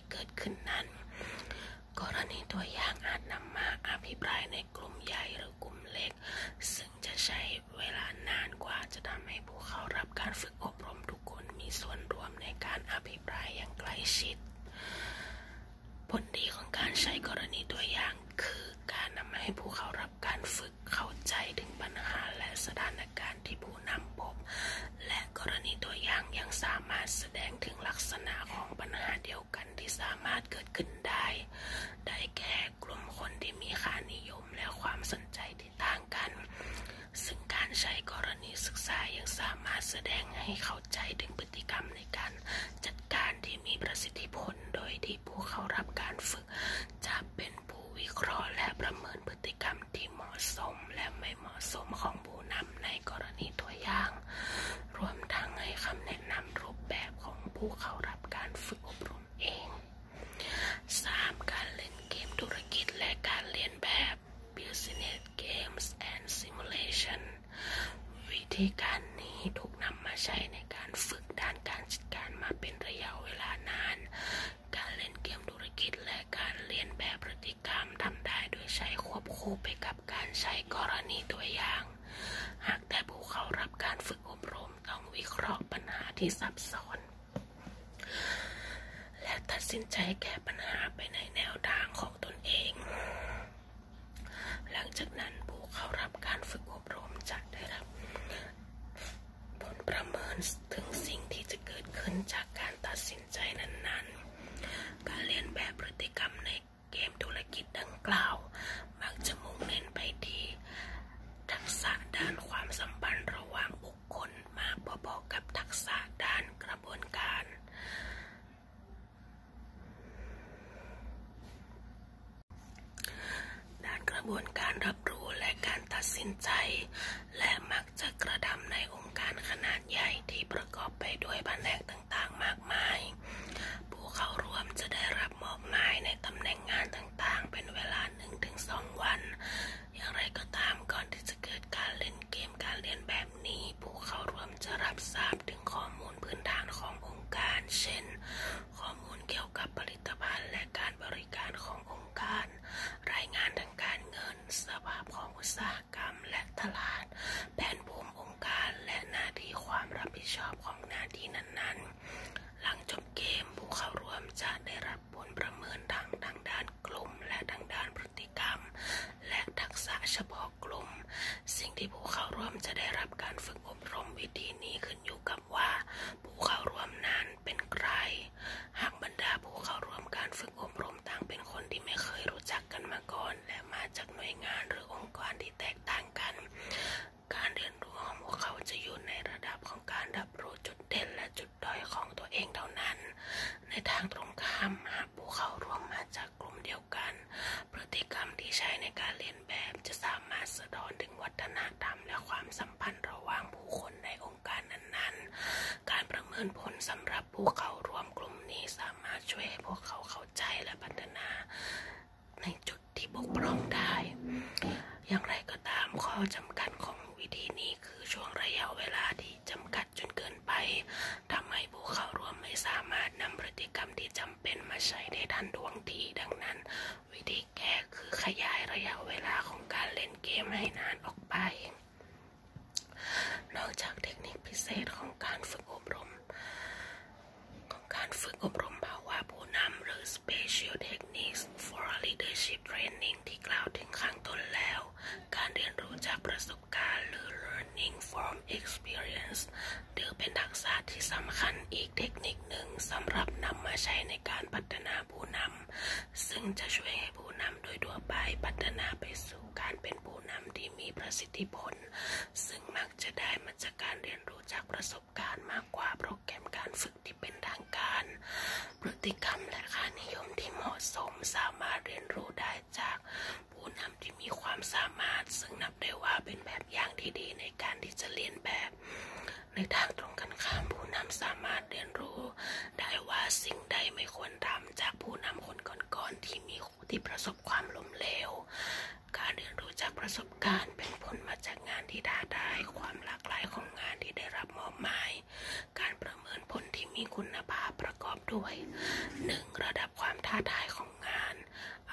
ที่เกิดขึ้นนั้นกรณีตัวอย่างอาจนำมาอภิปรายในกลุ่มใหญ่หรือกลุ่มเล็ก ซึ่งจะใช้เวลานานกว่าจะทำให้ผู้เข้ารับการฝึกอบรมทุกคนมีส่วนร่วมในการอภิปรายอย่างใกล้ชิดผลดีของการใช้กรณีตัวอย่างคือการนำให้ผู้เข้ารับการฝึกเข้าใจถึงปัญหาและสถานการณ์ทีู่นำพบและกรณีตัวอย่างยังสามารถแสดงถึงลักษณะของปัญหาเดียวกันที่สามารถเกิดขึ้นได้ ได้แก่กลุ่มคนที่มีค่านิยมและความสนใจที่ต่างกัน ซึ่งการใช้กรณีศึกษายังสามารถแสดงให้เข้าใจถึงพฤติกรรมในการ จัดการที่มีประสิทธิผลโดยที่ผู้เข้ารับการฝึก จะเป็นผู้วิเคราะห์และประเมินพฤติกรรมำที่เหมาะสมและไม่เหมาะสมของผู้นำในกรณีตัวอย่าง รวมทั้งให้คำแนะนำรูปแบบของผู้เข้ารับการฝึกอบรมเอง 3. การเล่นเกมธุรกิจและการเรียนแบบ Business Games and Simulation วิธีการนี้ถูกนำมาใช้ในการฝึกด้านการจัดการมาเป็นระยะเวลานานการเล่นเกมธุรกิจและการเรียนแบบพฤติกรรมทำได้โดยใช้ควบคู่ไปกับการใช้กรณีตัวอย่าง หากแต่ผู้เข้ารับการฝึกอบรมต้องวิเคราะห์ปัญหาที่ซับซ้อน และตัดสินใจแก้ปัญหาไปในแนวทางของตนเอง หลังจากนั้นผู้เข้ารับการฝึกอบรม จะได้รับ ผลประเมินถึงสิ่งที่จะเกิดขึ้นจากการตัดสินใจนั้นๆการเรีนแบบพฤติกรรมในเกมธุรกิจดังกล่าว มักจะมุ่งเน้นไปที่ ทักษะด้านความสัมพันธ์ระหว่างบุคคลมากพอๆกับทักษะด้านกระบวนการ ด้านกระบวนการรับรู้และการตัดสินใจ และมักจะกระทำในองค์การขนาดดใหญ่ที่ประกอบไปด้วยแผนกต่างๆมากมาย ผู้เข้าร่วมจะได้รับมอบหมายในตำแหน่งงานต่างๆ เป็นเวลา1-2วัน อย่างไรก็ตามก่อนที่จะเกิดการเล่นเกมการเรียนแบบนี้ ผู้เข้าร่วมจะรับทราบถึงข้อมูลพื้นฐานขององค์การ เช่น ข้อมูลเกี่ยวกับผลิตภัณฑ์และการบริการขององค์การ รายงานทางการเงิน สภาพของอุตสาหกรรมและตลาด แผนภูมิองค์การและหน้าที่ความรับผิดชอบของหน้าที่นั้น ๆ หลังจบเกมผู้เข้าร่วมจะได้รับผลประเมินทั้งทางด้านกลุ่มและทางด้านพฤติกรรมและทักษะเฉพาะกลุ่มสิ่งที่ผู้เข้าร่วมจะได้รับการฝึกอบรมวิธีนี้ขึ้นอยู่กับว่า ผู้เข้าร่วมนั้นเป็นใครหากบรรดาผู้เข้าร่วมการฝึกอบรมต่างเป็นคนที่ไม่เคยรู้จักกันมาก่อนและมาจากหน่วยงานหรือองค์กรที่แตกต่างกัน การเรียนรู้ของพวกเขาจะอยู่ในระดับของการรับรู้จุดเด่นและจุดด้อยของตัวเองเท่านั้น ในทางตรงข้ามหากผู้เข้าร่วมมาจากกลุ่มเดียวกันพฤติกรรมที่ใช้ในการเรียนแบบจะสามารถสะท้อนถึงวัฒนธรรมและความสัมพันธ์ระหว่างผู้คนในองงการนั้นๆ การประเมินผลสำหรับผู้เข้าร่วมกลุ่มนี้สามารถช่วยให้พวกเขาเข้าใจและพัฒนา ในจุดที่บกพร่องได้ อย่างไรก็ตามข้อจำกัดของวิธีนี้คือช่วงระยะเวลาที่จำกัดจนเกินไปทำให้ผู้เข้าร่วมไม่สามารถนำพฤติกรรมที่จำเป็นมาใช้ได้ทันท่วงที ดังนั้น วิธีแก้คือขยายระยะเวลาของการเล่นเกมให้นานออกไปนอกจากเทคนิคพิเศษของการฝึกอบรม ของการฝึกอบรมภาวะผู้นำหรือ special techniques for leadership training ที่กล่าวถึงข้างต้นแล้ว การเรียนรู้จากประสบการณ์หรือ learning from experience ถือเป็นทักษะที่สำคัญอีกเทคนิคหนึ่งสำหรับนำมาใช้ในการพัฒนาผู้นำซึ่งจะช่วยผู้นำโดยทั่วไปพัฒนาไปสู่การเป็นผู้นำที่มีประสิทธิผลซึ่งมักจะได้มาจากการเรียนรู้จากประสบการณ์ มากกว่าโปรแกรมการฝึกที่เป็นทางการ พฤติกรรมและค่านิยมที่เหมาะสมสามารถเรียนรู้ได้จาก ผู้นำที่มีความสามารถ ซึ่งนับได้ว่าเป็นแบบอย่างที่ดีในการที่จะเรียนแบบ ในทางตรงกันข้ามผู้นำสามารถเรียนรู้ ได้ว่าสิ่งใดไม่ควรทำจากผู้นำคนก่อนก่อนที่มีคู่ที่ประสบความล้มเหลว การเรียนรู้จากประสบการณ์ เป็นผลมาจากงานที่ได้าทาความหลากหลายของงานที่ได้รับมอบหมาย การประเมินผลที่มีคุณภาพประกอบด้วย 1. ระดับความท้าทายของงาน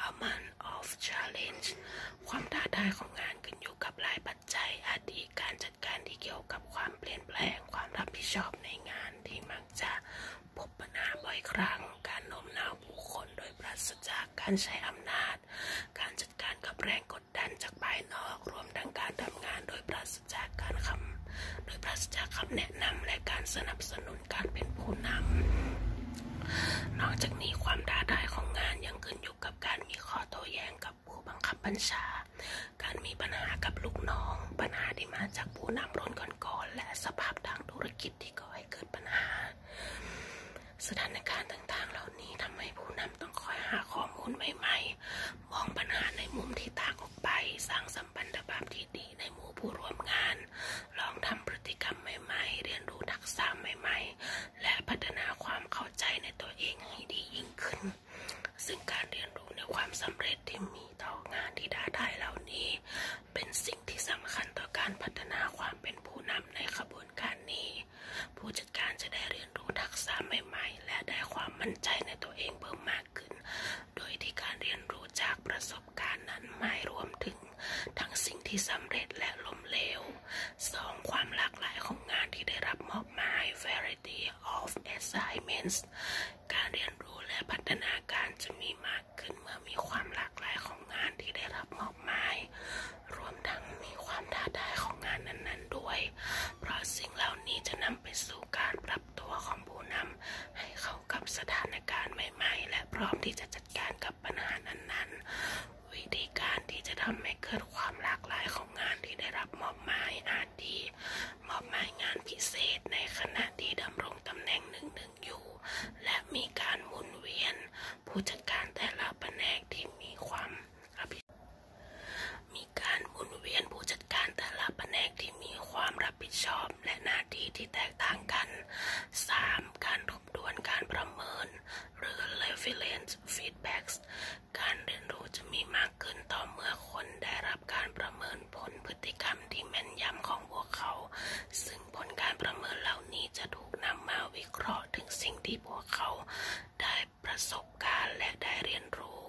amount of challenge ความท้าทายของงานขึ้นอยู่กับหลายปัจจัยอาทิการจัดการที่เกี่ยวกับความเปลี่ยนแปลงความรับผิดชอบในงานที่มาักจะพบปัญหาบ่อยครั้งการโน้มน้าวผู้คนโดยปราศจากการใช้อำนาจ การจัดการกับแรงกดดันจากภายนอกรวมทั้งการทำงานโดยปราศจากการคำโดยปราศจากคำแนะนำและการสนับสนุนการเป็นผู้นำนอกจากนี้ความท้าทายของงานยังขึ้นอยู่กับการมีข้อโต้แย้งกับผู้บังคับบัญชาการมีปัญหากับลูกน้อง ปัญหาที่มาจากผู้นำรุ่นก่อนๆและสภาพทางธุรกิจที่ก่อให้เกิดปัญหาสถานการณ์ต่างๆเหล่านี้ทำให้ผู้นำต้องคอยหาข้อมูลใหม่ๆ มองปัญหาในมุมที่ต่างออกไปสร้างสัมพันธภาพที่ดีในหมู่ผู้ร่วมงาน ลองทำพฤติกรรมใหม่ ๆ เรียนรู้ทักษะใหม่ๆ และพัฒนาความเข้าใจในตัวเองให้ดียิ่งขึ้นซึ่งการเรียนรู้ในความสำเร็จที่มีต่องานที่ดาได้เหล่านี้ เป็นสิ่งที่สำคัญต่อการพัฒนาความเป็นผู้นำในขบวนการนี้ ผู้จัดการจะได้เรียนรู้ทักษะใหม่ๆและได้ความมั่นใจในตัวเองเพิ่มมากขึ้น โดยที่การเรียนรู้จากประสบการณ์นั้นหมายรวมถึง ทั้งสิ่งที่สำเร็จและล้มเหลว 2. ความหลากหลายของงานที่ได้รับมอบหมาย variety of assignments การเรียนรู้และพัฒนาการจะมีมากขึ้นเมื่อมีความหลากหลายของงานที่ได้รับมอบหมายรวมทั้งมีความท้าทายของงานนั้น ๆด้วย เพราะสิ่งเหล่านี้จะนำไปสู่การปรับตัวของผู้นำให้เข้ากับสถานการณ์ใหม่ ๆ และพร้อมที่จะจัดการกับปัญหานั้นๆ วิธีการที่จะทำให้เกิดความหลากหลายของงานที่ได้รับมอบหมายอาารที่มอบหมายงานพิเศษในขณะที่ดำรงตำแหน่งหนึ่ง ๆอยู่ และมีการหมุนเวียนผู้จัดการแต่ละแผนกที่มีความ มีการหมุนเวียนผู้จัดการแต่ละแผนกที่มีความรับผิดชอบและหน้าที่ที่แตกต่างกัน 3. การทบทวนการประเมิน หรือ r e v e l e n c e feedbacks การเรียนรู้จะมีมากากขึ้นต่อเมื่อคนได้รับการประเมินผลพฤติกรรมที่แม่นยำของพวกเขา ซึ่งผลการประเมินเหล่านี้จะถูกนำมาวิเคราะห์ถึงสิ่งที่พวกเขาได้ประสบการณ์และได้เรียนรู้